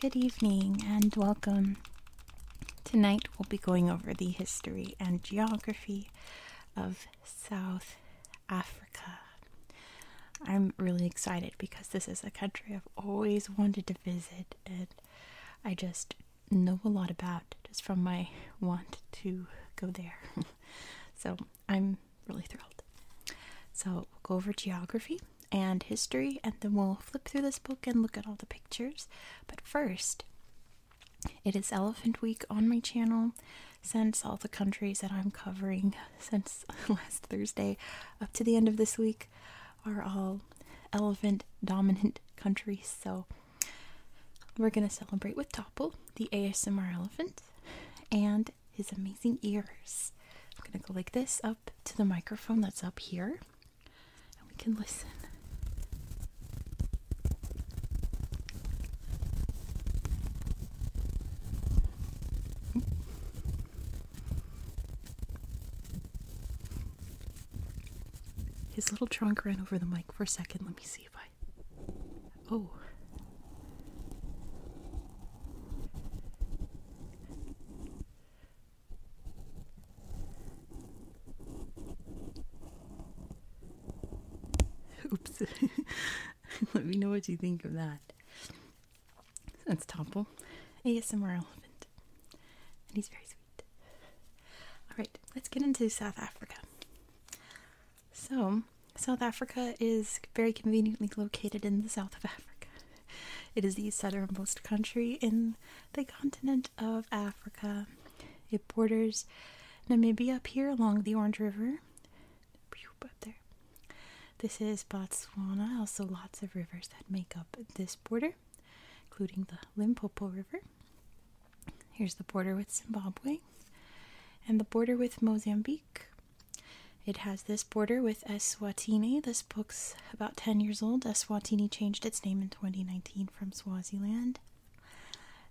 Good evening and welcome. Tonight we'll be going over the history and geography of South Africa. I'm really excited because this is a country I've always wanted to visit and I just know a lot about just from my want to go there. so I'm really thrilled. So we'll go over geography and history and then we'll flip through this book and look at all the pictures. But first, it is Elephant Week on my channel. Since all the countries that I'm covering since last Thursday up to the end of this week are all elephant dominant countries. So we're going to celebrate with Topple, the ASMR elephant, and his amazing ears. I'm going to go like this up to the microphone that's up here, and we can listen. His little trunk ran over the mic for a second. Let me see if I. Oh. Oops. Let me know what you think of that. That's Topple, ASMR elephant, and he's very sweet. All right, let's get into South Africa. So, South Africa is very conveniently located in the south of Africa. It is the southernmost country in the continent of Africa. It borders Namibia up here along the Orange River, this is Botswana, also lots of rivers that make up this border, including the Limpopo River. Here's the border with Zimbabwe and the border with Mozambique. It has this border with Eswatini. This book's about 10 years old. Eswatini changed its name in 2019 from Swaziland.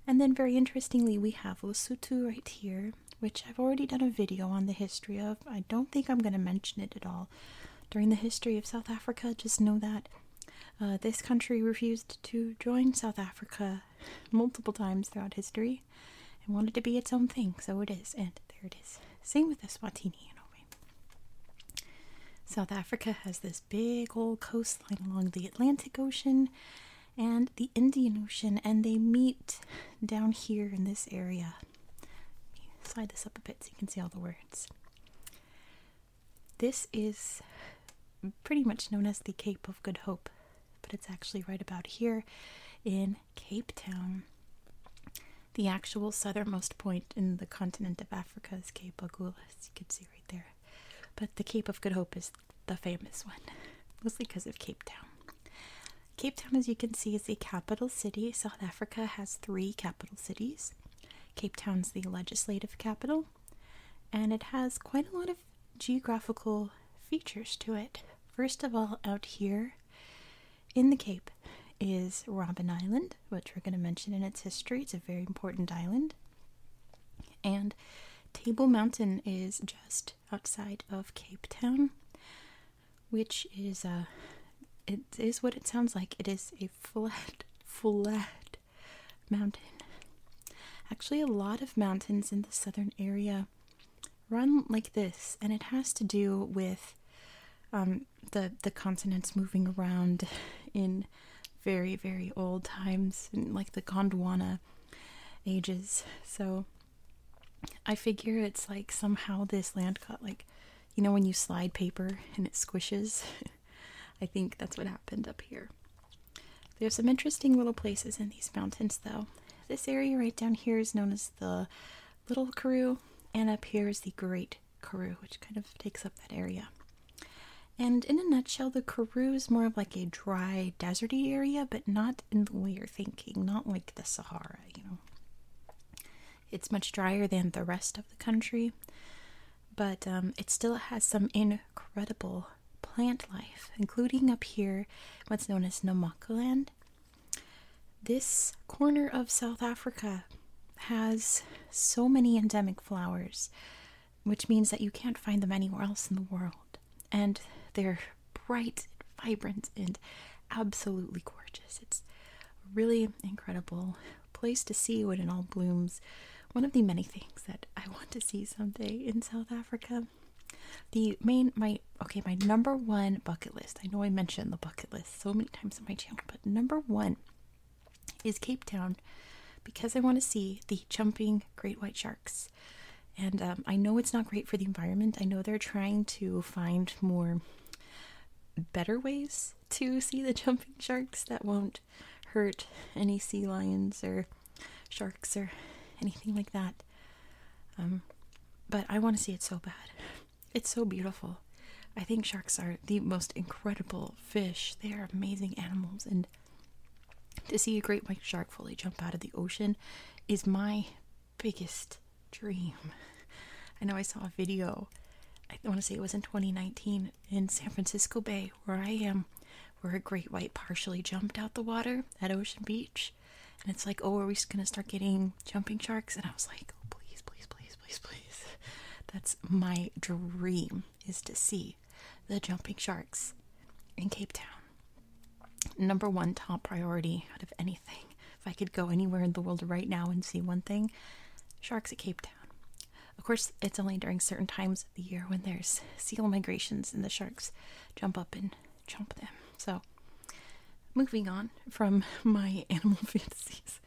And then, very interestingly, we have Lesotho right here, which I've already done a video on the history of. I don't think I'm going to mention it at all during the history of South Africa, just know that uh, this country refused to join South Africa multiple times throughout history and wanted to be its own thing, so it is, and there it is. Same with Eswatini in a South Africa has this big old coastline along the Atlantic Ocean and the Indian Ocean, and they meet down here in this area slide this up a bit so you can see all the words. This is pretty much known as the Cape of Good Hope, but it's actually right about here in Cape Town. The actual southernmost point in the continent of Africa is Cape Agulhas, you can see right there. But the Cape of Good Hope is the famous one, mostly because of Cape Town. Cape Town, as you can see, is the capital city. South Africa has three capital cities. Cape Town's the legislative capital, and it has quite a lot of geographical features to it. First of all, out here in the Cape is Robin Island, which we're going to mention in its history. It's a very important island. And Table Mountain is just outside of Cape Town which is uh it is what it sounds like. It is a flat, flat mountain. Actually, a lot of mountains in the southern area run like this, and it has to do with um, the the continents moving around in very very old times, like the Gondwana ages. So I figure it's like somehow this land got like you know when you slide paper and it squishes i think that's what happened up here there's some interesting little places in these mountains though this area right down here is known as the little karoo and up here is the great karoo which kind of takes up that area and in a nutshell the karoo is more of like a dry deserty area but not in the way you're thinking not like the sahara you know it's much drier than the rest of the country, but um, it still has some incredible plant life, including up here what's known as Namaqualand. This corner of South Africa has so many endemic flowers, which means that you can't find them anywhere else in the world. And they're bright, vibrant, and absolutely gorgeous. It's a really incredible place to see when it all blooms. One of the many things that I want to see someday in South Africa. The main, my, okay, my number one bucket list. I know I mentioned the bucket list so many times on my channel, but number one is Cape Town because I want to see the jumping great white sharks. And um, I know it's not great for the environment. I know they're trying to find more better ways to see the jumping sharks that won't hurt any sea lions or sharks or anything like that. Um, but I want to see it so bad. It's so beautiful. I think sharks are the most incredible fish. They are amazing animals, and to see a great white shark fully jump out of the ocean is my biggest dream. I know I saw a video, I want to say it was in 2019 in San Francisco Bay, where I am, where a great white partially jumped out the water at Ocean Beach. And it's like, oh, are we just going to start getting jumping sharks? And I was like, oh, please, please, please, please, please. That's my dream is to see the jumping sharks in Cape Town. Number one top priority out of anything. If I could go anywhere in the world right now and see one thing, sharks at Cape Town. Of course, it's only during certain times of the year when there's seal migrations and the sharks jump up and chomp them. So, moving on from my animal fantasies,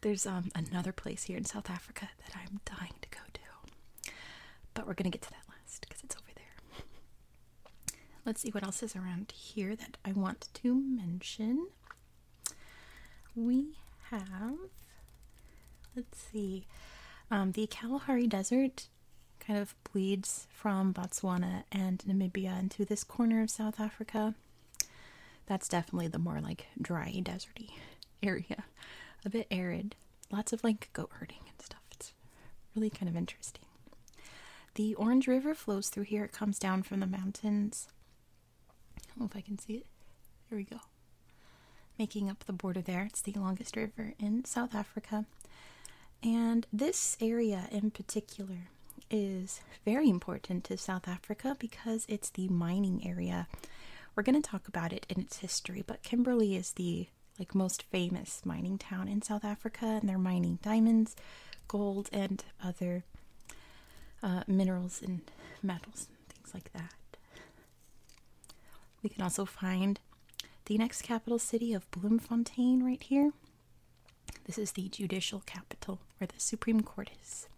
there's um, another place here in South Africa that I'm dying to go to. But we're going to get to that last because it's over there. Let's see what else is around here that I want to mention. We have, let's see, um, the Kalahari Desert kind of bleeds from Botswana and Namibia into this corner of South Africa. That's definitely the more like dry, deserty area. A bit arid. Lots of like goat herding and stuff. It's really kind of interesting. The Orange River flows through here. It comes down from the mountains I don't know if I can see it. There we go. Making up the border there. It's the longest river in South Africa. And this area in particular is very important to South Africa because it's the mining area. We're going to talk about it in its history, but Kimberley is the like most famous mining town in South Africa and they're mining diamonds, gold and other uh, minerals and metals and things like that. We can also find the next capital city of Bloemfontein right here. This is the judicial capital where the Supreme Court is.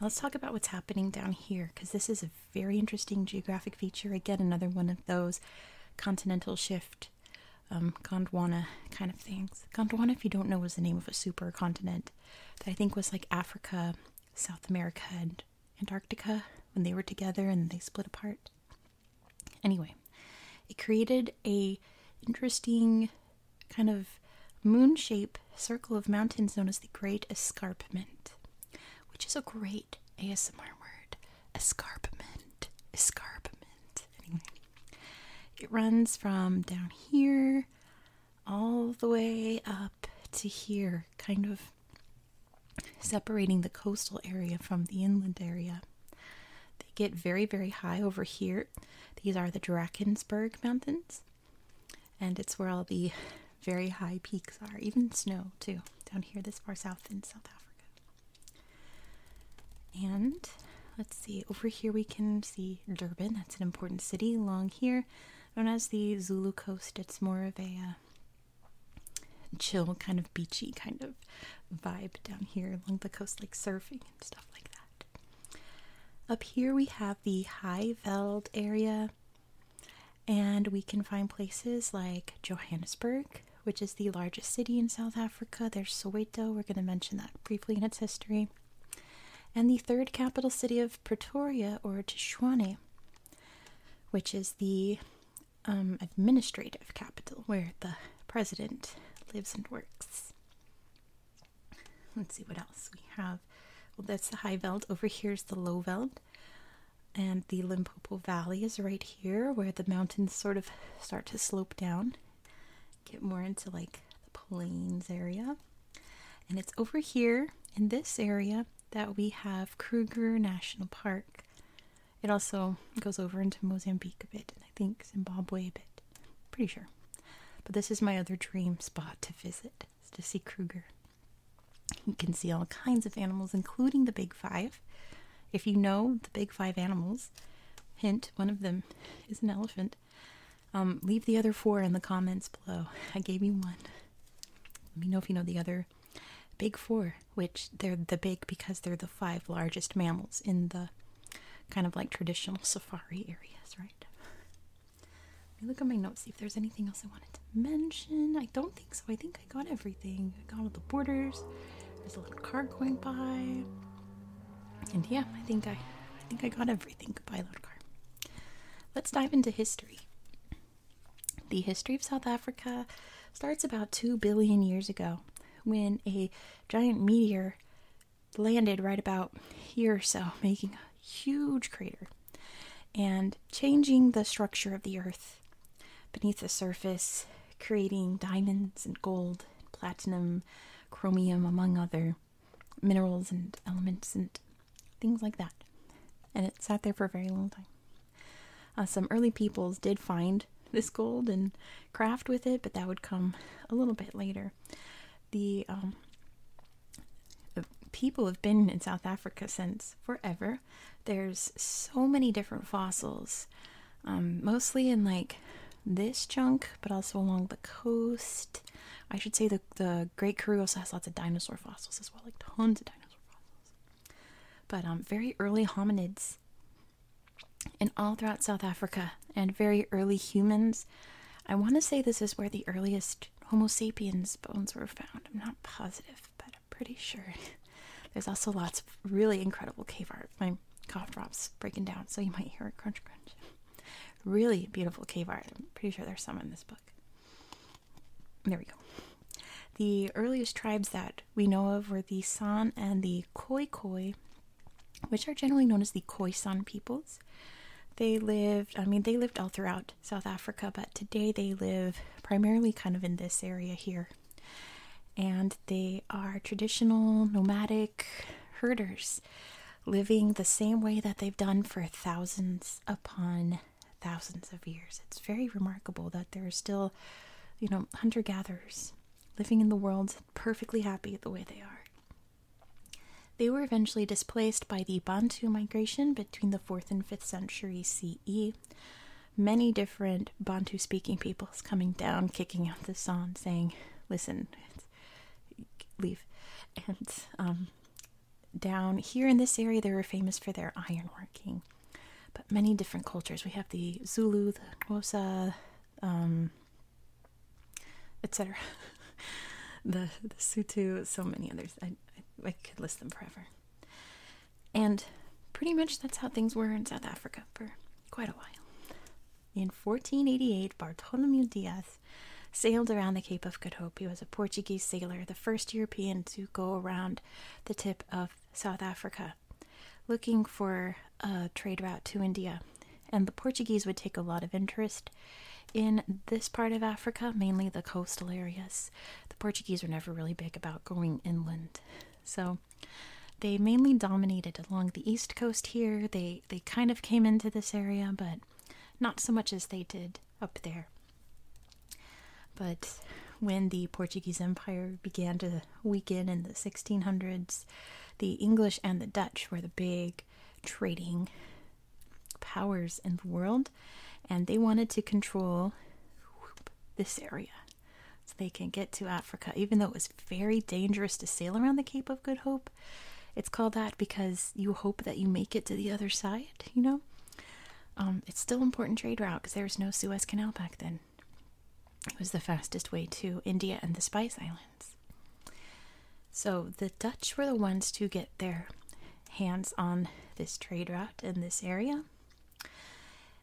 Now let's talk about what's happening down here because this is a very interesting geographic feature. Again, another one of those continental shift um, Gondwana kind of things. Gondwana, if you don't know, was the name of a supercontinent that I think was like Africa, South America, and Antarctica when they were together and they split apart. Anyway, it created a interesting kind of moon shape circle of mountains known as the Great Escarpment, which is a great ASMR word. Escarpment. Escarpment. Anyway. It runs from down here all the way up to here, kind of separating the coastal area from the inland area. They get very, very high over here. These are the Drakensberg Mountains, and it's where all the very high peaks are, even snow, too, down here this far south in South Africa. And let's see, over here we can see Durban. That's an important city along here. Known as the Zulu Coast, it's more of a uh, chill, kind of beachy kind of vibe down here along the coast, like surfing and stuff like that. Up here we have the High Veld area, and we can find places like Johannesburg, which is the largest city in South Africa. There's Soweto, we're going to mention that briefly in its history and the third capital city of Pretoria or Tshwane, which is the um, administrative capital where the president lives and works. Let's see what else we have. Well, that's the High Veld. Over here is the Low Veld. And the Limpopo Valley is right here where the mountains sort of start to slope down get more into like the plains area. And it's over here in this area that we have Kruger National Park. It also goes over into Mozambique a bit, and I think Zimbabwe a bit. Pretty sure. But this is my other dream spot to visit, is to see Kruger. You can see all kinds of animals, including the big five. If you know the big five animals, hint, one of them is an elephant. Um, leave the other four in the comments below. I gave you one. Let me know if you know the other big four, which they're the big because they're the five largest mammals in the kind of like traditional safari areas, right? Let me look at my notes, see if there's anything else I wanted to mention. I don't think so. I think I got everything. I got all the borders. There's a little car going by. And yeah, I think I, I think I got everything. Goodbye, car. Let's dive into history. The history of South Africa starts about two billion years ago, when a giant meteor landed right about here so, making a huge crater and changing the structure of the earth beneath the surface, creating diamonds and gold, platinum, chromium, among other minerals and elements and things like that. And it sat there for a very long time. Uh, some early peoples did find this gold and craft with it, but that would come a little bit later. The, um, people have been in South Africa since forever. There's so many different fossils, um, mostly in like this chunk, but also along the coast. I should say the, the Great Karoo also has lots of dinosaur fossils as well, like tons of dinosaur fossils. But um, very early hominids, and all throughout South Africa, and very early humans. I want to say this is where the earliest Homo sapiens bones were found. I'm not positive, but I'm pretty sure. There's also lots of really incredible cave art and cough drops breaking down, so you might hear a crunch crunch. Really beautiful cave art. I'm pretty sure there's some in this book. There we go. The earliest tribes that we know of were the San and the Khoikhoi, which are generally known as the Khoisan peoples. They lived, I mean, they lived all throughout South Africa, but today they live primarily kind of in this area here. And they are traditional nomadic herders living the same way that they've done for thousands upon thousands of years. It's very remarkable that there are still, you know, hunter gatherers living in the world perfectly happy the way they are. They were eventually displaced by the Bantu migration between the 4th and 5th century CE. Many different Bantu speaking peoples coming down, kicking out the song, saying, Listen, leave and um, down here in this area they were famous for their ironworking but many different cultures we have the zulu the Xhosa, um, etc the, the sutu so many others I, I could list them forever and pretty much that's how things were in south africa for quite a while in 1488, Bartolomeu Diaz sailed around the Cape of Good Hope. He was a Portuguese sailor, the first European to go around the tip of South Africa, looking for a trade route to India. And the Portuguese would take a lot of interest in this part of Africa, mainly the coastal areas. The Portuguese were never really big about going inland. So they mainly dominated along the east coast here. They they kind of came into this area, but not so much as they did up there. But when the Portuguese Empire began to weaken in the 1600s, the English and the Dutch were the big trading powers in the world, and they wanted to control this area so they can get to Africa, even though it was very dangerous to sail around the Cape of Good Hope. It's called that because you hope that you make it to the other side, you know? Um, it's still important trade route because there was no Suez Canal back then. It was the fastest way to India and the Spice Islands. So the Dutch were the ones to get their hands on this trade route in this area.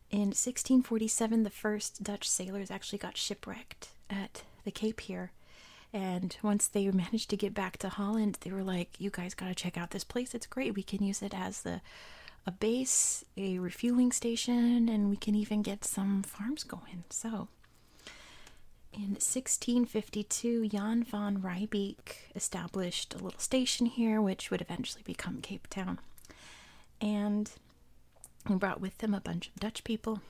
In 1647, the first Dutch sailors actually got shipwrecked at the Cape here, and once they managed to get back to Holland, they were like, "You guys got to check out this place. It's great. We can use it as the a base, a refueling station, and we can even get some farms going." So, in 1652, Jan van Riebeek established a little station here, which would eventually become Cape Town. And who brought with them a bunch of Dutch people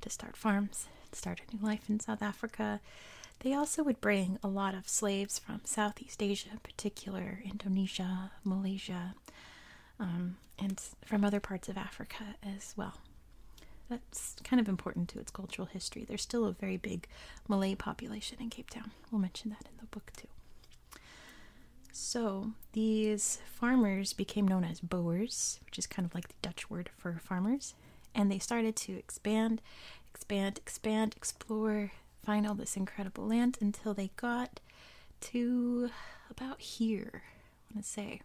to start farms, start a new life in South Africa. They also would bring a lot of slaves from Southeast Asia, in particular Indonesia, Malaysia, um, and from other parts of Africa as well. That's kind of important to its cultural history. There's still a very big Malay population in Cape Town. We'll mention that in the book too. So, these farmers became known as Boers, which is kind of like the Dutch word for farmers, and they started to expand, expand, expand, explore, find all this incredible land until they got to about here. I want to say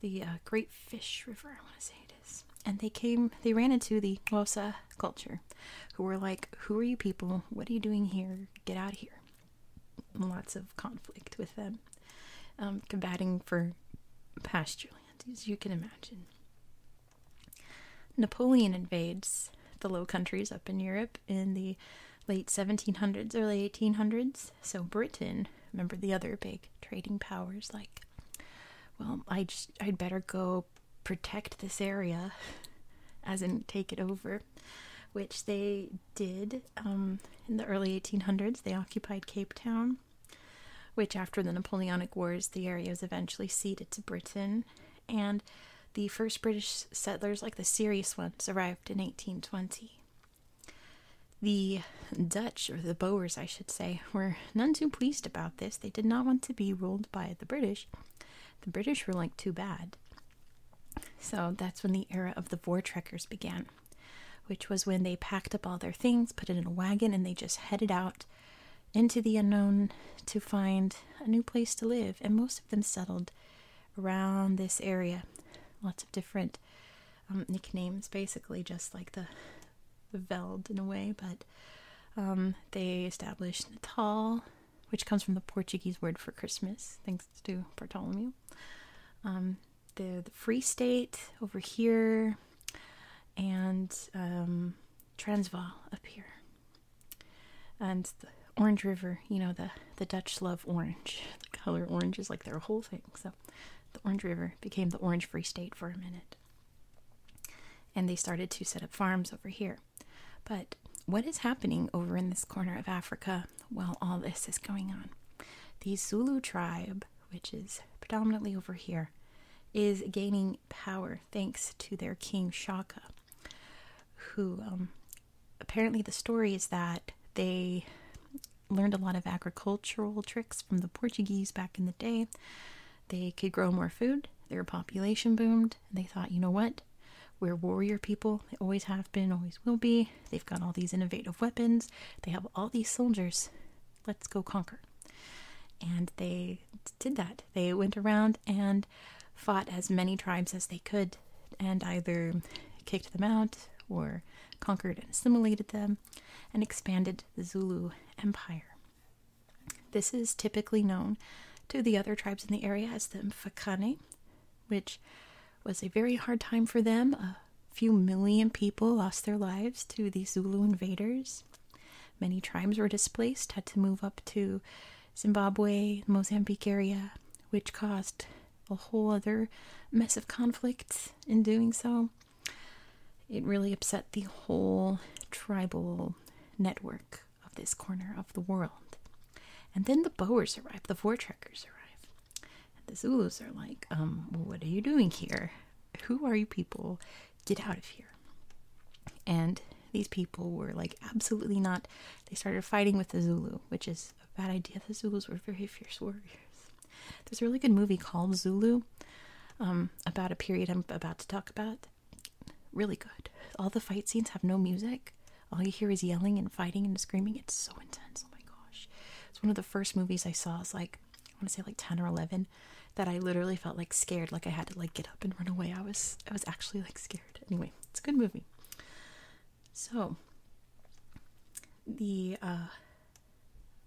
the uh, Great Fish River. I want to say it is, and they came. They ran into the Xhosa culture, who were like, "Who are you people? What are you doing here? Get out of here!" Lots of conflict with them. Um, combating for pasture land, as you can imagine. Napoleon invades the Low Countries up in Europe in the late 1700s, early 1800s. So Britain, remember the other big trading powers, like, well, I just, I'd better go protect this area, as in take it over, which they did um, in the early 1800s, they occupied Cape Town, which, after the Napoleonic Wars, the area was eventually ceded to Britain. And the first British settlers, like the serious ones, arrived in 1820. The Dutch, or the Boers, I should say, were none too pleased about this. They did not want to be ruled by the British. The British were like too bad. So that's when the era of the Vortrekkers began which was when they packed up all their things, put it in a wagon, and they just headed out into the unknown to find a new place to live. And most of them settled around this area. Lots of different um, nicknames, basically, just like the, Veld in a way, but um, they established Natal, which comes from the Portuguese word for Christmas, thanks to Bartholomew. Um, the, Free State over here, and um, Transvaal up here, and the Orange River. You know the the Dutch love orange. The color orange is like their whole thing. So the Orange River became the Orange Free State for a minute, and they started to set up farms over here. But what is happening over in this corner of Africa while all this is going on. The Zulu tribe, which is predominantly over here, is gaining power thanks to their king Shaka, who um, apparently the story is that they learned a lot of agricultural tricks from the Portuguese back in the day. They could grow more food, their population boomed, and they thought, you know what? We're warrior people. They always have been, always will be. They've got all these innovative weapons. They have all these soldiers. Let's go conquer. And they did that. They went around and fought as many tribes as they could and either kicked them out or conquered and assimilated them and expanded the Zulu Empire. This is typically known to the other tribes in the area as the Mfakane, which was a very hard time for them, few million people lost their lives to these Zulu invaders. Many tribes were displaced, had to move up to Zimbabwe, Mozambique area, which caused a whole other mess of conflict in doing so. It really upset the whole tribal network of this corner of the world. And then the Boers arrive, the Vortrekkers arrive the Zulus are like, um, what are you doing here? Who are you people? Get out of here. And these people were like, absolutely not. They started fighting with the Zulu, which is a bad idea. The Zulus were very fierce warriors. There's a really good movie called Zulu um, about a period I'm about to talk about. Really good. All the fight scenes have no music. All you hear is yelling and fighting and screaming. It's so intense. Oh my gosh. It's one of the first movies I saw. It's like, I want to say like 10 or 11 that I literally felt like scared like I had to like get up and run away. I was I was actually like scared. Anyway, it's a good movie. So the uh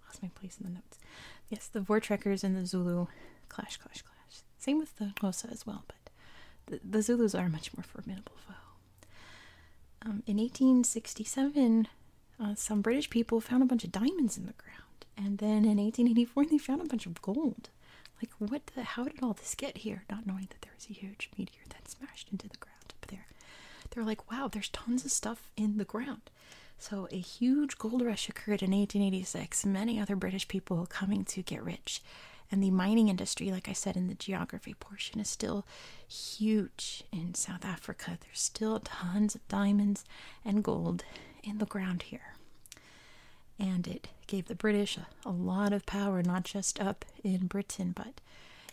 lost my place in the notes. Yes, the Vortrekkers and the Zulu clash clash clash. Same with the Xhosa as well, but the, the Zulus are a much more formidable foe. Um, in 1867, uh, some British people found a bunch of diamonds in the ground. And then in 1884, they found a bunch of gold. Like, what the? How did all this get here? Not knowing that there was a huge meteor that smashed into the ground up there. They're like, wow, there's tons of stuff in the ground. So, a huge gold rush occurred in 1886. Many other British people coming to get rich. And the mining industry, like I said in the geography portion, is still huge in South Africa there's still tons of diamonds and gold in the ground here. And it gave the British a, lot of power, not just up in Britain, but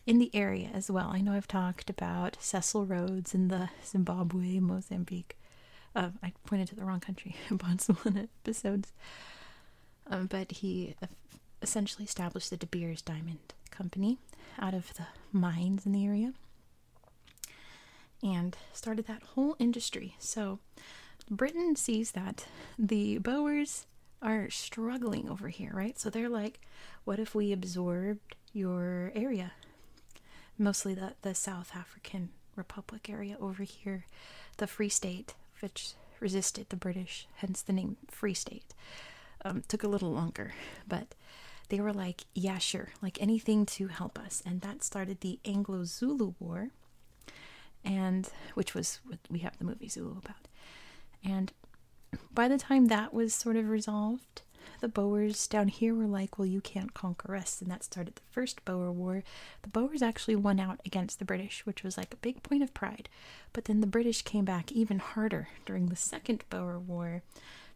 in the area as well. I know I've talked about Cecil Rhodes in the Zimbabwe, Mozambique. Uh, I pointed to the wrong country, Botswana episodes. Um, but he essentially established the De Beers Diamond company out of the mines in the area and started that whole industry. So Britain sees that the Boers are struggling over here, right? So they're like, what if we absorbed your area? Mostly the, the South African Republic area over here, the Free State, which resisted the British, hence the name Free State. Um, took a little longer, but they were like, yeah, sure, like anything to help us. And that started the Anglo Zulu War, and which was what we have the movie Zulu about. And by the time that was sort of resolved, the Boers down here were like, well, you can't conquer us. And that started the First Boer War. The Boers actually won out against the British, which was like a big point of pride. But then the British came back even harder during the Second Boer War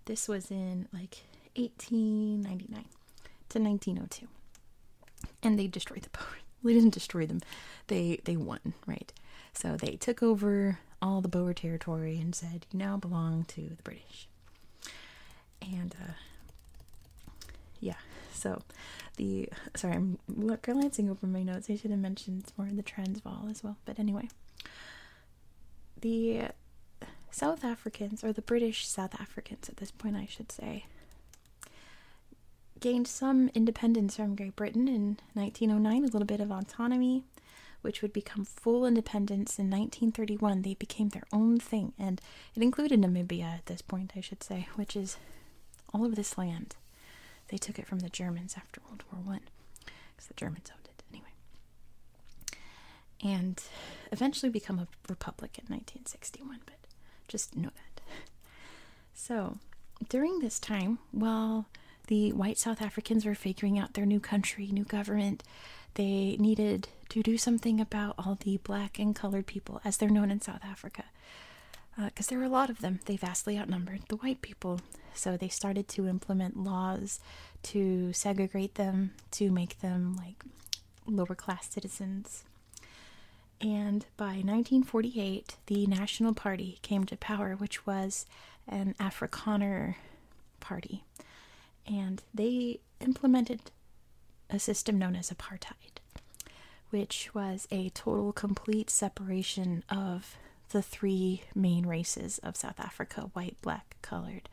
this was in like 1899 to 1902. And they destroyed the boat. They didn't destroy them. They they won, right? So they took over all the Boer territory and said, "You now belong to the British." And uh, yeah, so the sorry, I'm glancing over my notes. I should have mentioned more of the Transvaal as well. But anyway, the South Africans, or the British South Africans at this point, I should say, gained some independence from Great Britain in 1909, a little bit of autonomy, which would become full independence in 1931. They became their own thing, and it included Namibia at this point, I should say, which is all of this land. They took it from the Germans after World War One, because the Germans owned it anyway and eventually become a republic in 1961, but just know that. So, during this time, while the white South Africans were figuring out their new country, new government, they needed to do something about all the black and colored people, as they're known in South Africa. Because uh, there were a lot of them, they vastly outnumbered the white people. So they started to implement laws to segregate them, to make them like lower class citizens. And by 1948, the National Party came to power, which was an Afrikaner party. And they implemented a system known as apartheid, which was a total, complete separation of the three main races of South Africa white, black, colored.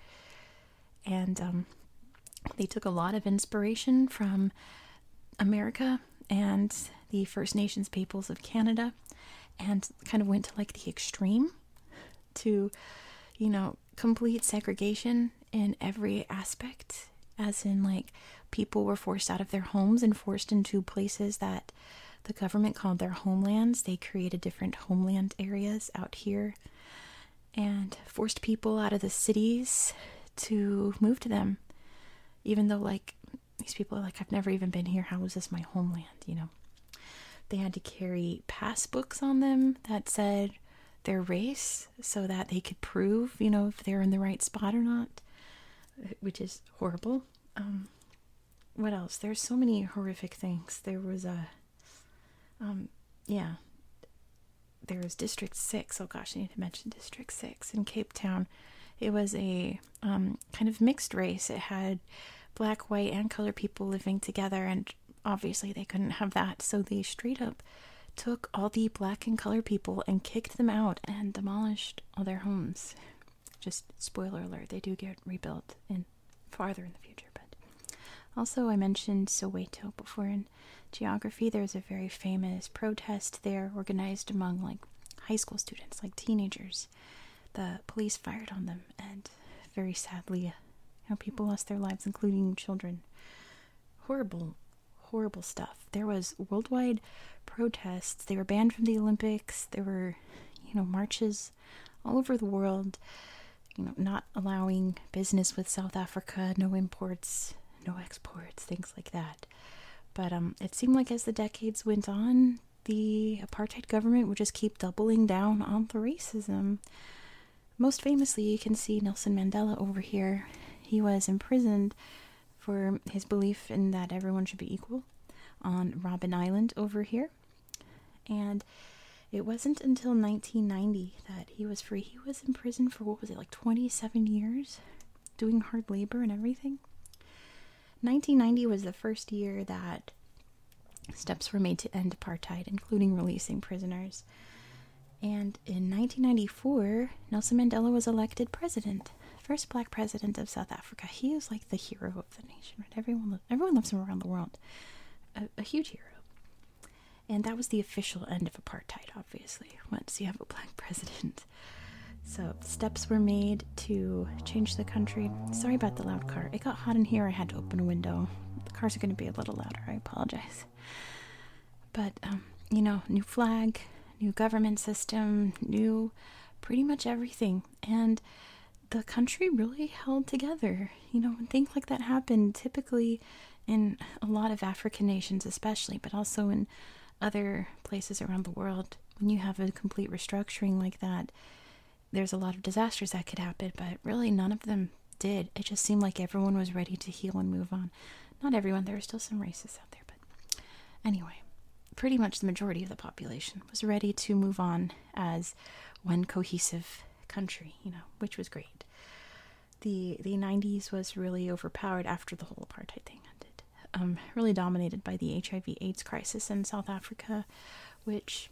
And um, they took a lot of inspiration from America and the First Nations peoples of Canada and kind of went to like the extreme to, you know, complete segregation in every aspect, as in, like, people were forced out of their homes and forced into places that the government called their homelands. They created different homeland areas out here and forced people out of the cities to move to them. Even though, like, these people are like, I've never even been here. How is this my homeland? You know, they had to carry passbooks on them that said their race so that they could prove, you know, if they're in the right spot or not, which is horrible. Um, what else? There's so many horrific things. There was a, um, yeah, there was District 6. Oh gosh, I need to mention District 6 in Cape Town. It was a um, kind of mixed race. It had black, white, and color people living together, and obviously they couldn't have that. So they straight up took all the black and color people and kicked them out and demolished all their homes just spoiler alert, they do get rebuilt in farther in the future. But also, I mentioned Soweto before in geography. There's a very famous protest there organized among like high school students, like teenagers. The police fired on them, and very sadly, how uh, people lost their lives, including children. Horrible, horrible stuff. There was worldwide protests. They were banned from the Olympics. There were, you know, marches all over the world, you know, not allowing business with South Africa, no imports, no exports, things like that. But um, it seemed like as the decades went on, the apartheid government would just keep doubling down on the racism. Most famously, you can see Nelson Mandela over here. He was imprisoned for his belief in that everyone should be equal on Robben Island over here and it wasn't until 1990 that he was free. He was in prison for what was it, like 27 years, doing hard labor and everything. 1990 was the first year that steps were made to end apartheid, including releasing prisoners. And in 1994, Nelson Mandela was elected president, first black president of South Africa. He is like the hero the nation, right? Everyone, everyone loves him around the world. A, huge hero. And that was the official end of apartheid, obviously, once you have a black president. So, steps were made to change the country. Sorry about the loud car. It got hot in here, I had to open a window. The cars are going to be a little louder, I apologize. But, um, you know, new flag, new government system, new pretty much everything. And the country really held together. You know, things like that happen, typically in a lot of African nations, especially, but also in other places around the world, when you have a complete restructuring like that, there's a lot of disasters that could happen, but really none of them did. It just seemed like everyone was ready to heal and move on. Not everyone, there were still some racists out there, but anyway, pretty much the majority of the population was ready to move on as one cohesive country, you know, which was great. The the 90s was really overpowered after the whole apartheid thing ended. Um, really dominated by the HIV AIDS crisis in South Africa, which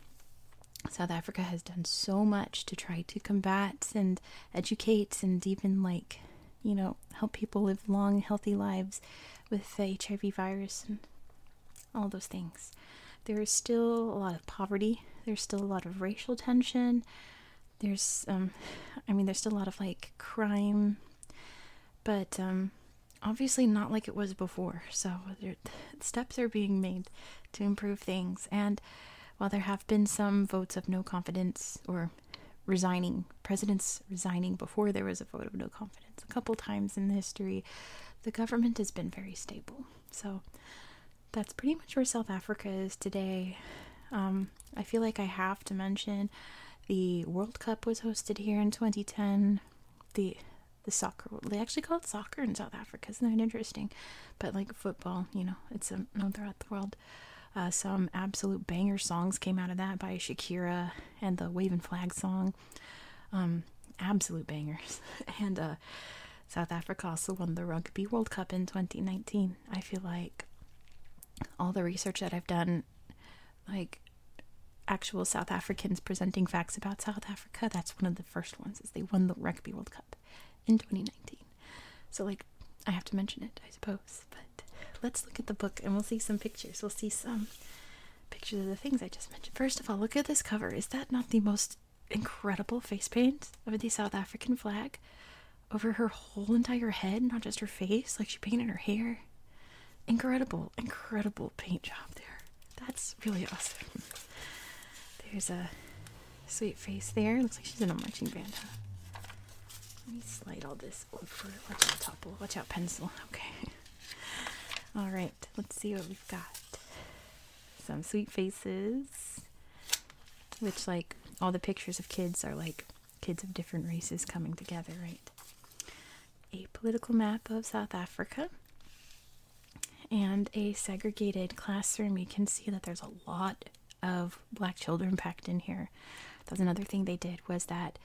South Africa has done so much to try to combat and educate and even like, you know, help people live long, healthy lives with the HIV virus and all those things. There is still a lot of poverty. There's still a lot of racial tension. There's, um, I mean, there's still a lot of like crime, but um, obviously not like it was before. So steps are being made to improve things. And while there have been some votes of no confidence or resigning, presidents resigning before there was a vote of no confidence confidence. A couple times in history, the government has been very stable. So that's pretty much where South Africa is today. Um, I feel like I have to mention the World Cup was hosted here in 2010. The the soccer they actually called soccer in South Africa. Isn't that interesting? But like football, you know, it's um, known throughout the world. Uh, some absolute banger songs came out of that by Shakira and the Waving Flag song song. Um, absolute bangers. and uh, South Africa also won the Rugby World Cup in 2019. I feel like all the research that I've done, like actual South Africans presenting facts about South Africa, that's one of the first ones is they won the Rugby World Cup in 2019. So like I have to mention it, I suppose. But let's look at the book and we'll see some pictures. We'll see some pictures of the things I just mentioned. First of all, look at this cover. Is that not the most incredible face paint of the South African flag over her whole entire head, not just her face? Like she painted her hair. Incredible, incredible paint job there. That's really awesome. There's a sweet face there. Looks like she's in a marching band. Huh? Let me slide all this over. Watch out, topple. Watch out, pencil. Okay. All right. Let's see what we've got some sweet faces, which like all the pictures of kids are like kids of different races coming together, right? A political map of South Africa and a segregated classroom. You can see that there's a lot of black children packed in here. That was another thing they did was that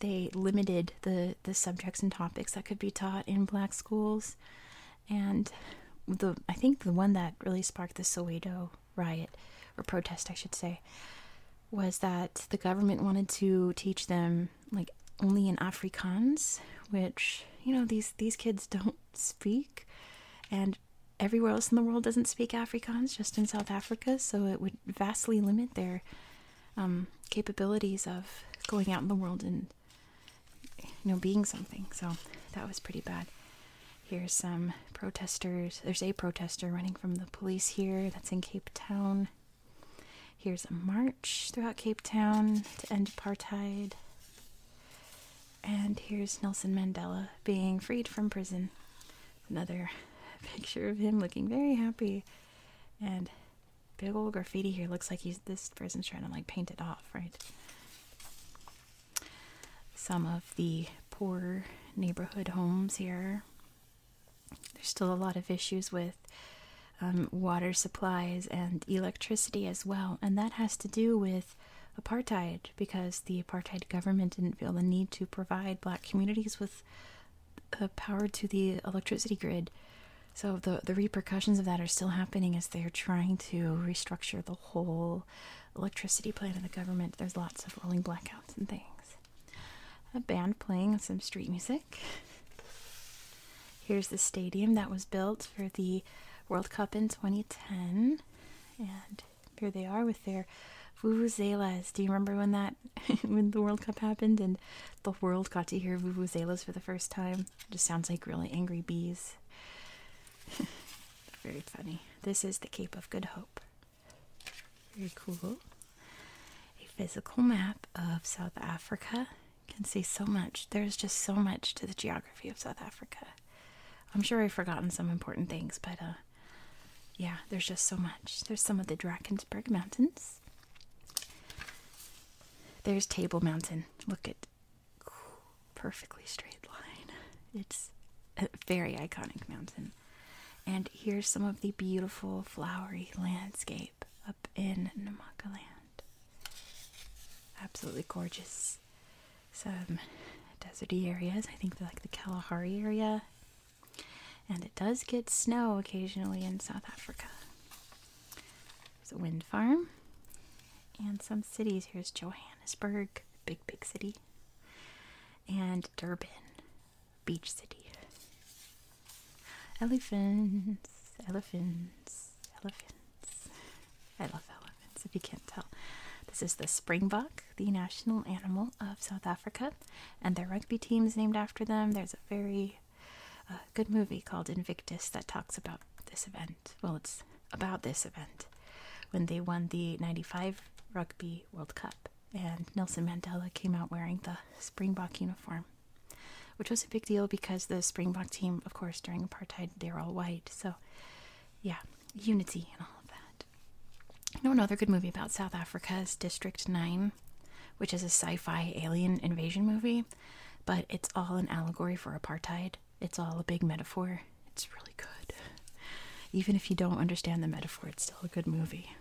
they limited the the subjects and topics that could be taught in black schools and the I think the one that really sparked the Soweto riot or protest, I should say, was that the government wanted to teach them like only in Afrikaans, which you know these these kids don't speak, and everywhere else in the world doesn't speak Afrikaans, just in South Africa, so it would vastly limit their um, capabilities of going out in the world and you know being something. So that was pretty bad. Here's some protesters. There's a protester running from the police here. That's in Cape Town. Here's a march throughout Cape Town to end apartheid. And here's Nelson Mandela being freed from prison. Another picture of him looking very happy. And Big old graffiti here looks like he's this person's trying to like paint it off, right? Some of the poor neighborhood homes here. There's still a lot of issues with um, water supplies and electricity as well, and that has to do with apartheid because the apartheid government didn't feel the need to provide black communities with uh, power to the electricity grid. So the the repercussions of that are still happening as they're trying to restructure the whole electricity plan of the government. There's lots of rolling blackouts and things. A band playing some street music. Here's the stadium that was built for the World Cup in 2010. And here they are with their vuvuzelas. Do you remember when that when the World Cup happened and the world got to hear vuvuzelas for the first time? It just sounds like really angry bees. Very funny. This is the Cape of Good Hope. Very cool. A physical map of South Africa. You can see so much. There's just so much to the geography of South Africa. I'm sure I've forgotten some important things, but uh, yeah, there's just so much. There's some of the Drakensberg Mountains. There's Table Mountain. Look at perfectly straight line. It's a very iconic mountain. And here's some of the beautiful flowery landscape up in Namakaland. Absolutely gorgeous. Some deserty areas. I think they're like the Kalahari area. And it does get snow occasionally in South Africa. There's a wind farm. And some cities. Here's Johannesburg, big, big city. And Durban, beach city. Elephants, elephants, elephants. I love elephants, if you can't tell. This is the springbok, the national animal of South Africa, and their rugby team's named after them. There's a very a good movie called Invictus that talks about this event. Well, it's about this event when they won the 95 Rugby World Cup, and Nelson Mandela came out wearing the Springbok uniform, which was a big deal because the Springbok team, of course, during apartheid, they are all white. So, yeah, unity and all of that. You know, another good movie about South Africa is District 9, which is a sci fi alien invasion movie. But it's all an allegory for apartheid. It's all a big metaphor. It's really good. Even if you don't understand the metaphor, it's still a good movie.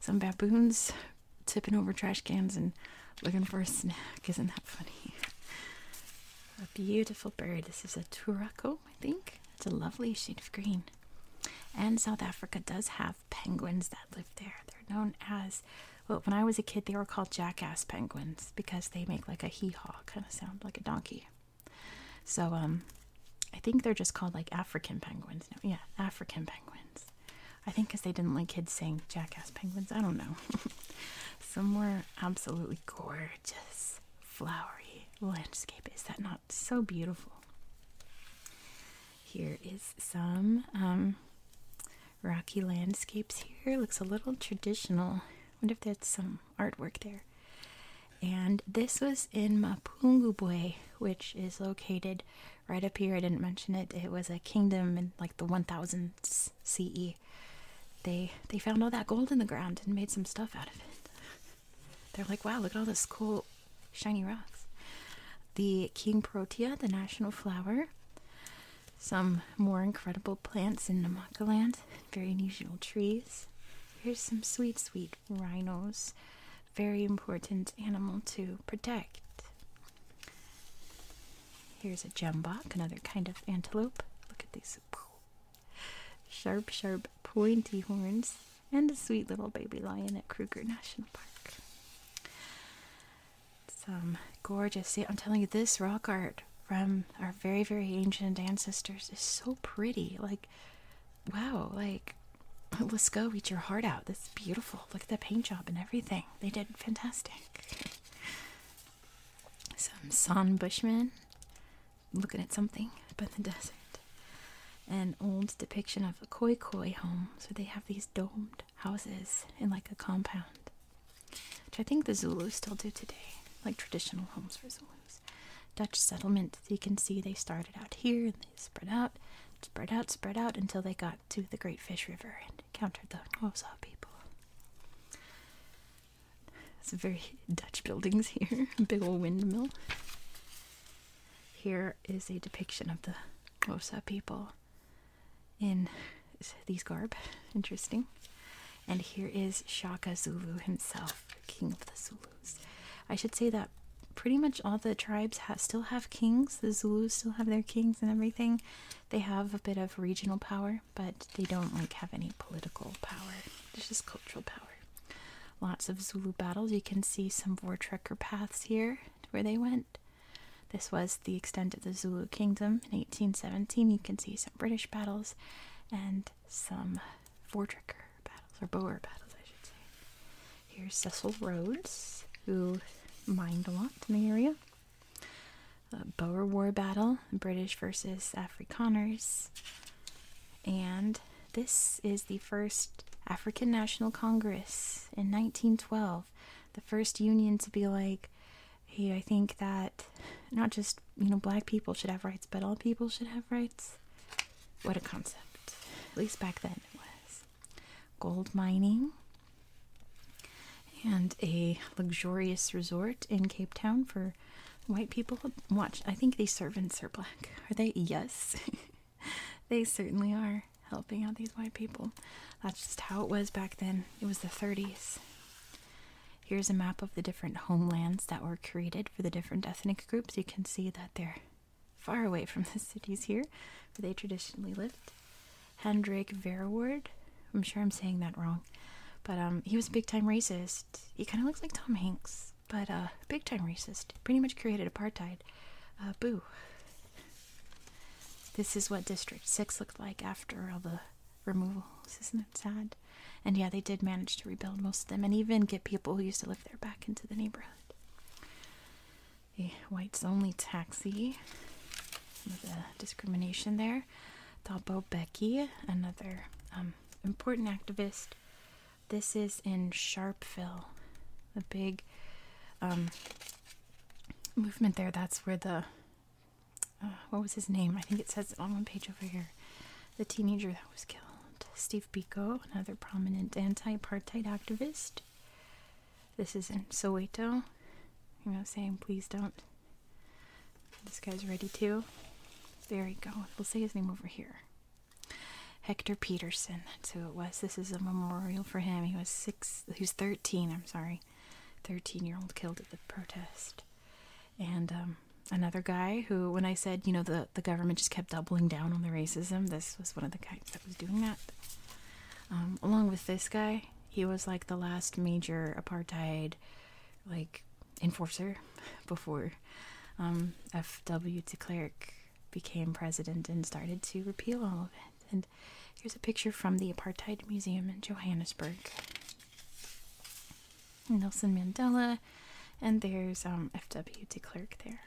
Some baboons tipping over trash cans and looking for a snack. Isn't that funny? A beautiful bird. This is a turaco, I think. It's a lovely shade of green. And South Africa does have penguins that live there. They're known as well, when I was a kid, they were called jackass penguins because they make like a hee haw kind of sound, like a donkey. So, um, I think they're just called like African penguins. No, yeah, African penguins. I think because they didn't like kids saying jackass penguins. I don't know. Some were absolutely gorgeous, flowery landscape. Is that not so beautiful? Here is some um, rocky landscapes here. Looks a little traditional. Wonder if that's some artwork there. And this was in Mapungubwe, which is located right up here. I didn't mention it. It was a kingdom in like the 1000s CE. They they found all that gold in the ground and made some stuff out of it. They're like, wow, look at all this cool shiny rocks. The king protea, the national flower, some more incredible plants in Namakaland. very unusual trees. Here's some sweet, sweet rhinos, very important animal to protect. Here's a jembok, another kind of antelope. Look at these sharp, sharp, pointy horns, and a sweet little baby lion at Kruger National Park some gorgeous see i'm telling you this rock art from our very very ancient ancestors is so pretty like wow like let's go eat your heart out This beautiful look at that paint job and everything they did fantastic some san bushman looking at something but in the desert an old depiction of a koi koi home so they have these domed houses in like a compound which I think the Zulus still do today, like traditional homes for Zulus. Dutch settlement, you can see they started out here and they spread out, spread out, spread out until they got to the Great Fish River and encountered the Wausau people. Some very Dutch buildings here, big old windmill. Here is a depiction of the Wausau people in these garb. Interesting. And here is Shaka Zulu himself, king of the Zulus. I should say that pretty much all the tribes still have kings. The Zulus still have their kings and everything. They have a bit of regional power, but they don't like have any political power. It's just cultural power. Lots of Zulu battles. You can see some war trekker paths here where they went. This was the extent of the Zulu kingdom. In 1817, you can see some British battles and some Vortricker battles, or Boer battles, I should say. Here's Cecil Rhodes, who mined a lot in the area. Boer War battle, British versus Afrikaners. And this is the first African National Congress in 1912, the first union to be like, hey, I think that not just, you know, black people should have rights, but all people should have rights. What a concept. At least back then it was. Gold mining and a luxurious resort in Cape Town for white people. Watch, I think these servants are black. Are they? Yes. they certainly are helping out these white people. That's just how it was back then. It was the 30s. Here's a map of the different homelands that were created for the different ethnic groups. You can see that they're far away from the cities here where they traditionally lived. Hendrik Verwoerd, I'm sure I'm saying that wrong, but um, he was a big time racist. He kind of looks like Tom Hanks, but uh, big time racist. Pretty much created apartheid. Uh, boo. This is what District 6 looked like after all the removals. Isn't that sad? And yeah, they did manage to rebuild most of them and even get people who used to live there back into the neighborhood. The whites only taxi, the discrimination there. Thabo Becky, another um, important activist. This is in Sharpeville, a big um, movement there. That's where the uh, what was his name? I think it says on one page over here. The teenager that was killed. Steve Biko, another prominent anti apartheid activist. This is in Soweto. I'm not saying, please don't. This guy's ready too. There you go. We'll say his name over here. Hector Peterson. That's who it was. This is a memorial for him. He was six. He was thirteen. I'm sorry. 13 year old killed at the protest. And um, another guy who, when I said, you know, the, the government just kept doubling down on the racism, this was one of the guys that was doing that. Um, along with this guy, he was like the last major apartheid, like, enforcer before um, F.W. de Klerk became president and started to repeal all of it here's a picture from the Apartheid Museum in Johannesburg. Nelson Mandela, and there's um, F.W. de Klerk there.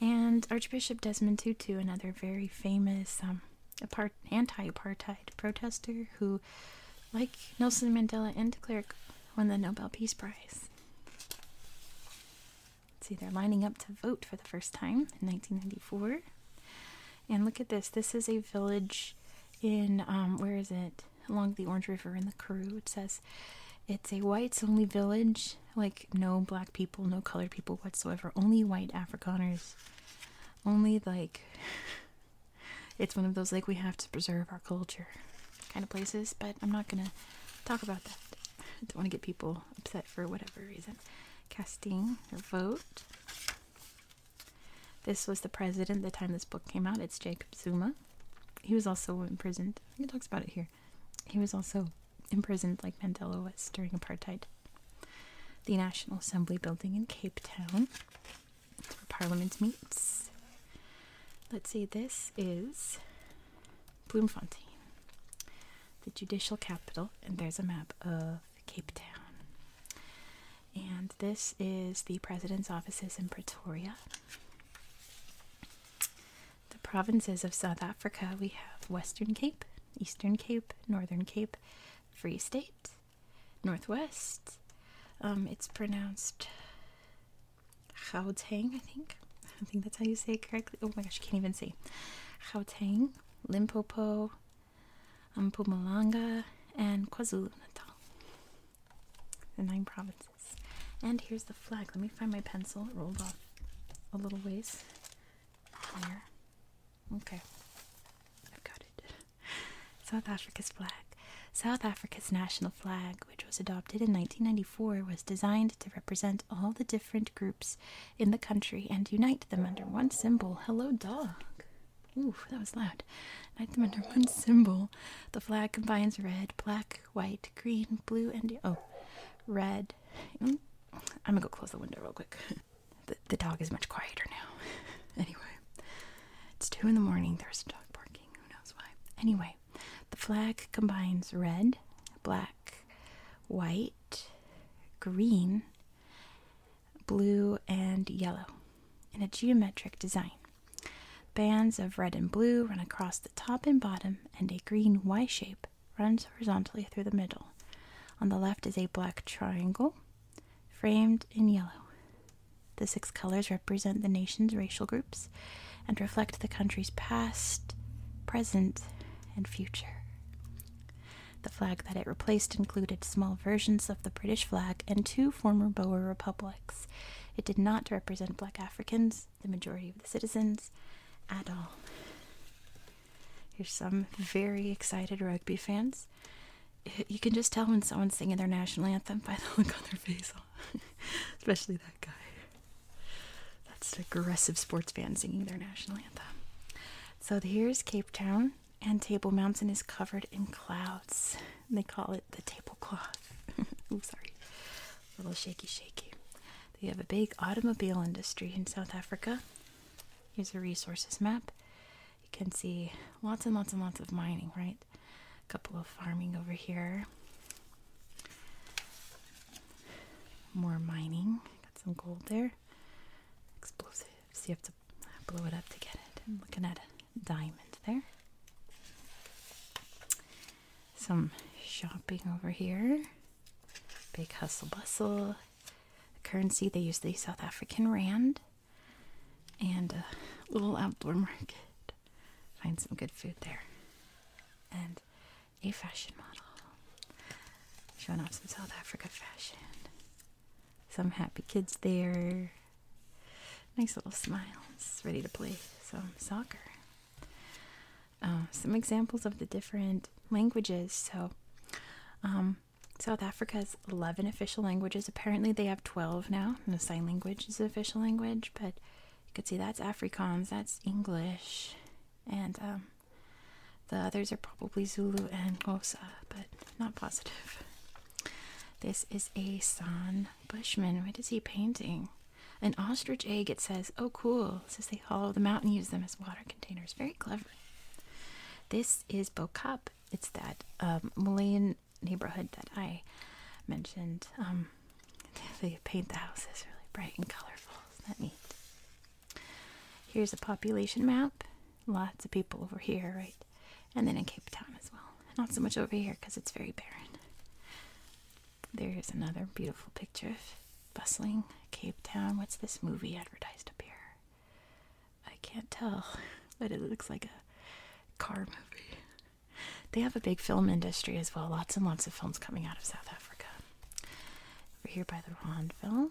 And Archbishop Desmond Tutu, another very famous um, anti-apartheid protester who, like Nelson Mandela and de Klerk, won the Nobel Peace Prize. see, they're lining up to vote for the first time in 1994. And look at this. This is a village in, um, where is it? Along the Orange River in the Karoo. It says it's a whites only village. Like no black people, no colored people whatsoever. Only white Afrikaners. Only like it's one of those like we have to preserve our culture kind of places. But I'm not gonna talk about that. I don't want to get people upset for whatever reason. Casting their vote. This was the president the time this book came out. It's Jacob Zuma. He was also imprisoned. He talks about it here. He was also imprisoned like Mandela was during apartheid. The National Assembly building in Cape Town. where Parliament meets. Let's see, this is Bloemfontein, the judicial capital, and there's a map of Cape Town. And this is the president's offices in Pretoria. The provinces of South Africa we have Western Cape, Eastern Cape, Northern Cape, Free State, Northwest. Um, it's pronounced Gauteng, I think. I think that's how you say it correctly. Oh my gosh, you can't even see. Gauteng, Limpopo, Mpumalanga, um, and KwaZulu Natal. The nine provinces. And here's the flag. Let me find my pencil. It rolled off a little ways. There. Okay. I've got it. South Africa's flag. South Africa's national flag, which was adopted in 1994, was designed to represent all the different groups in the country and unite them under one symbol. Hello, dog. Oof, that was loud. Unite them under one symbol. The flag combines red, black, white, green, blue, and oh, red. Mm. I'm gonna go close the window real quick. The, the dog is much quieter now. anyway, it's two in the morning. There's a dog barking. Who knows why? Anyway, the flag combines red, black, white, green, blue, and yellow in a geometric design. Bands of red and blue run across the top and bottom, and a green Y shape runs horizontally through the middle. On the left is a black triangle framed in yellow. The six colors represent the nation's racial groups and reflect the country's past, present, and future. The flag that it replaced included small versions of the British flag and two former Boer republics. It did not represent black Africans, the majority of the citizens, at all. Here's some very excited rugby fans. You can just tell when someone's singing their national anthem by the look on their face, especially that guy. That's an aggressive sports fan singing their national anthem. So here's Cape Town and Table Mountain is covered in clouds. they call it the tablecloth. oh, sorry. little shaky, shaky. They have a big automobile industry in South Africa. Here's a resources map. You can see lots and lots and lots of mining, right? A couple of farming over here. More mining. Got some gold there. Explosives. You have to I blew it up to get it. I'm looking at a diamond there. Some shopping over here. Big hustle bustle. currency they use the South African rand. And a little outdoor market. Find some good food there. And a fashion model. Showing off some South Africa fashion some happy kids there. Nice little smiles, ready to play some soccer. Um, some examples of the different languages. So, um, South Africa has 11 official languages. Apparently, they have 12 now. And the sign language is the official language, but you can see that's Afrikaans, that's English, and um, the others are probably Zulu and Xhosa, but not positive. This is a San Bushman. What is he painting? An ostrich egg, it says. Oh, cool. says they hollow them out and use them as water containers. Very clever. This is Bokap. It's that um, Malayan neighborhood that I mentioned. Um, they paint the houses really bright and colorful. that neat? Here's a population map. Lots of people over here, right? And then in Cape Town as well. Not so much over here because it's very barren. There's another beautiful picture of bustling Cape Town. What's this movie advertised up here? I can't tell, but it looks like a car movie. They have a big film industry as well. Lots and lots of films coming out of South Africa. Over here by the Rondville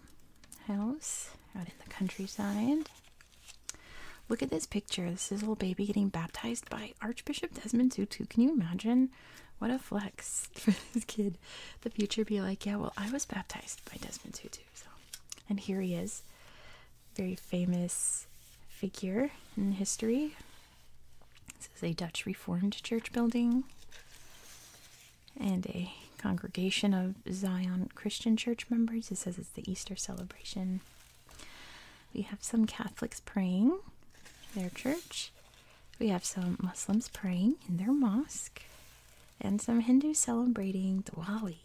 house, out in the countryside. Look at this picture. This is little baby getting baptized by Archbishop Desmond Tutu. Can you imagine? What a flex for this kid. The future be like, yeah, well, I was baptized by Desmond Tutu. So, and here he is, very famous figure in history. This is a Dutch Reformed church building and a congregation of Zion Christian Church members. It says it's the Easter celebration. We have some Catholics praying their church. We have some Muslims praying in their mosque. And some Hindus celebrating Diwali.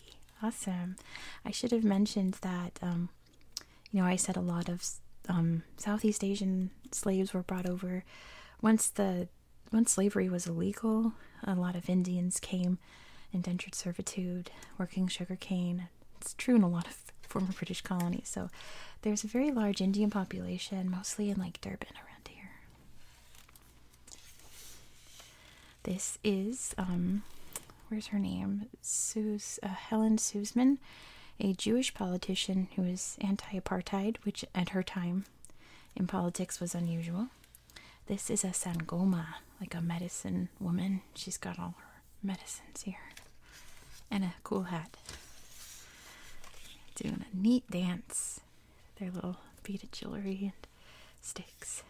Awesome. I should have mentioned that, um, you know, I said a lot of um, Southeast Asian slaves were brought over. Once the when slavery was illegal, a lot of Indians came, indentured servitude, working sugarcane. It's true in a lot of former British colonies. So there's a very large Indian population, mostly in like Durban around here. This is, um, where's her name? Sus uh, Helen Suzman, a Jewish politician who was anti apartheid, which at her time in politics was unusual. This is a Sangoma, like a medicine woman. She's got all her medicines here. And a cool hat. Doing a neat dance. Their little beaded jewelry and sticks.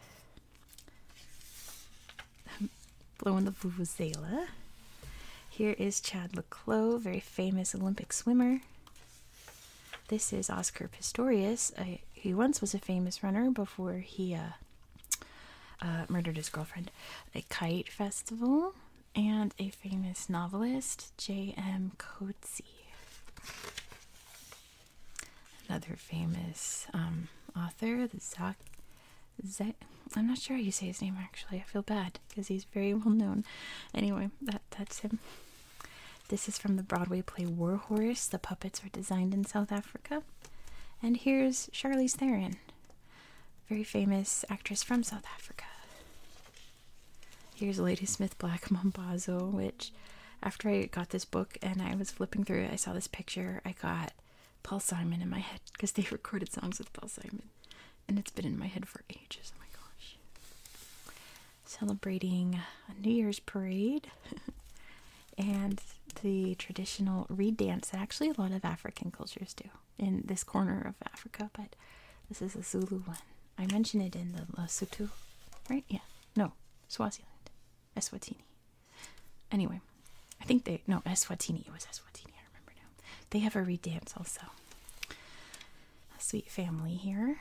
Blowing the Vuvuzela. Here is Chad Leclos, very famous Olympic swimmer. This is Oscar Pistorius. who once was a famous runner before he uh, uh, murdered his girlfriend. A kite festival and a famous novelist, J.M. Coetzee. Another famous um, author, the Zach. i I'm not sure how you say his name actually. I feel bad because he's very well known. Anyway, that that's him. This is from the Broadway play War Horse. The puppets were designed in South Africa. And here's Charlize Theron, very famous actress from South Africa. Here's Ladysmith Black Mambazo, which after I got this book and I was flipping through it, I saw this picture. I got Paul Simon in my head because they recorded songs with Paul Simon. And it's been in my head for ages. Oh my gosh celebrating a New Year's parade and the traditional reed dance that actually a lot of African cultures do in this corner of Africa, but this is a Zulu one. I mentioned it in the Lesotho, right? Yeah. No, Swaziland. Eswatini. Anyway, I think they, no, Eswatini. It was Eswatini, I remember now. They have a reed dance also. A sweet family here.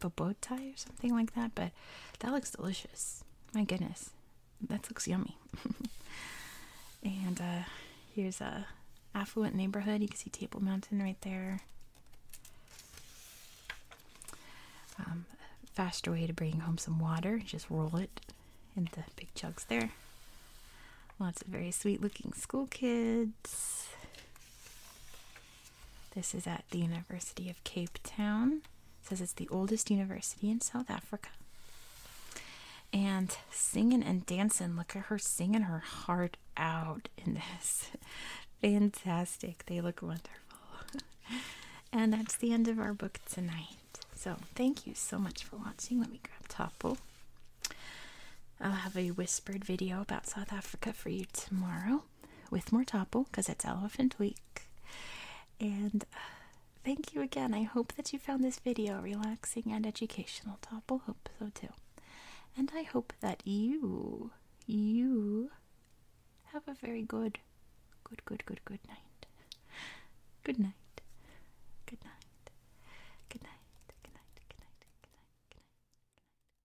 bobotai or something like that, but that looks delicious. My goodness, that looks yummy. and uh, here's a affluent neighborhood. You can see Table Mountain right there. Um, faster way to bring home some water, just roll it in the big jugs there. Lots of very sweet looking school kids. This is at the University of Cape Town. says it's the oldest university in South Africa. And singing and dancing. Look at her singing her heart out in this. Fantastic. They look wonderful. and that's the end of our book tonight. So thank you so much for watching. Let me grab Topple. I'll have a whispered video about South Africa for you tomorrow with more Topo because it's Elephant Week. And uh, thank you again. I hope that you found this video relaxing and educational. Topple, hope so too. And I hope that you, you have a very good, good, good, good, Good night. Good night. Good night. Good night. Good night. Good night. Good night. Good night.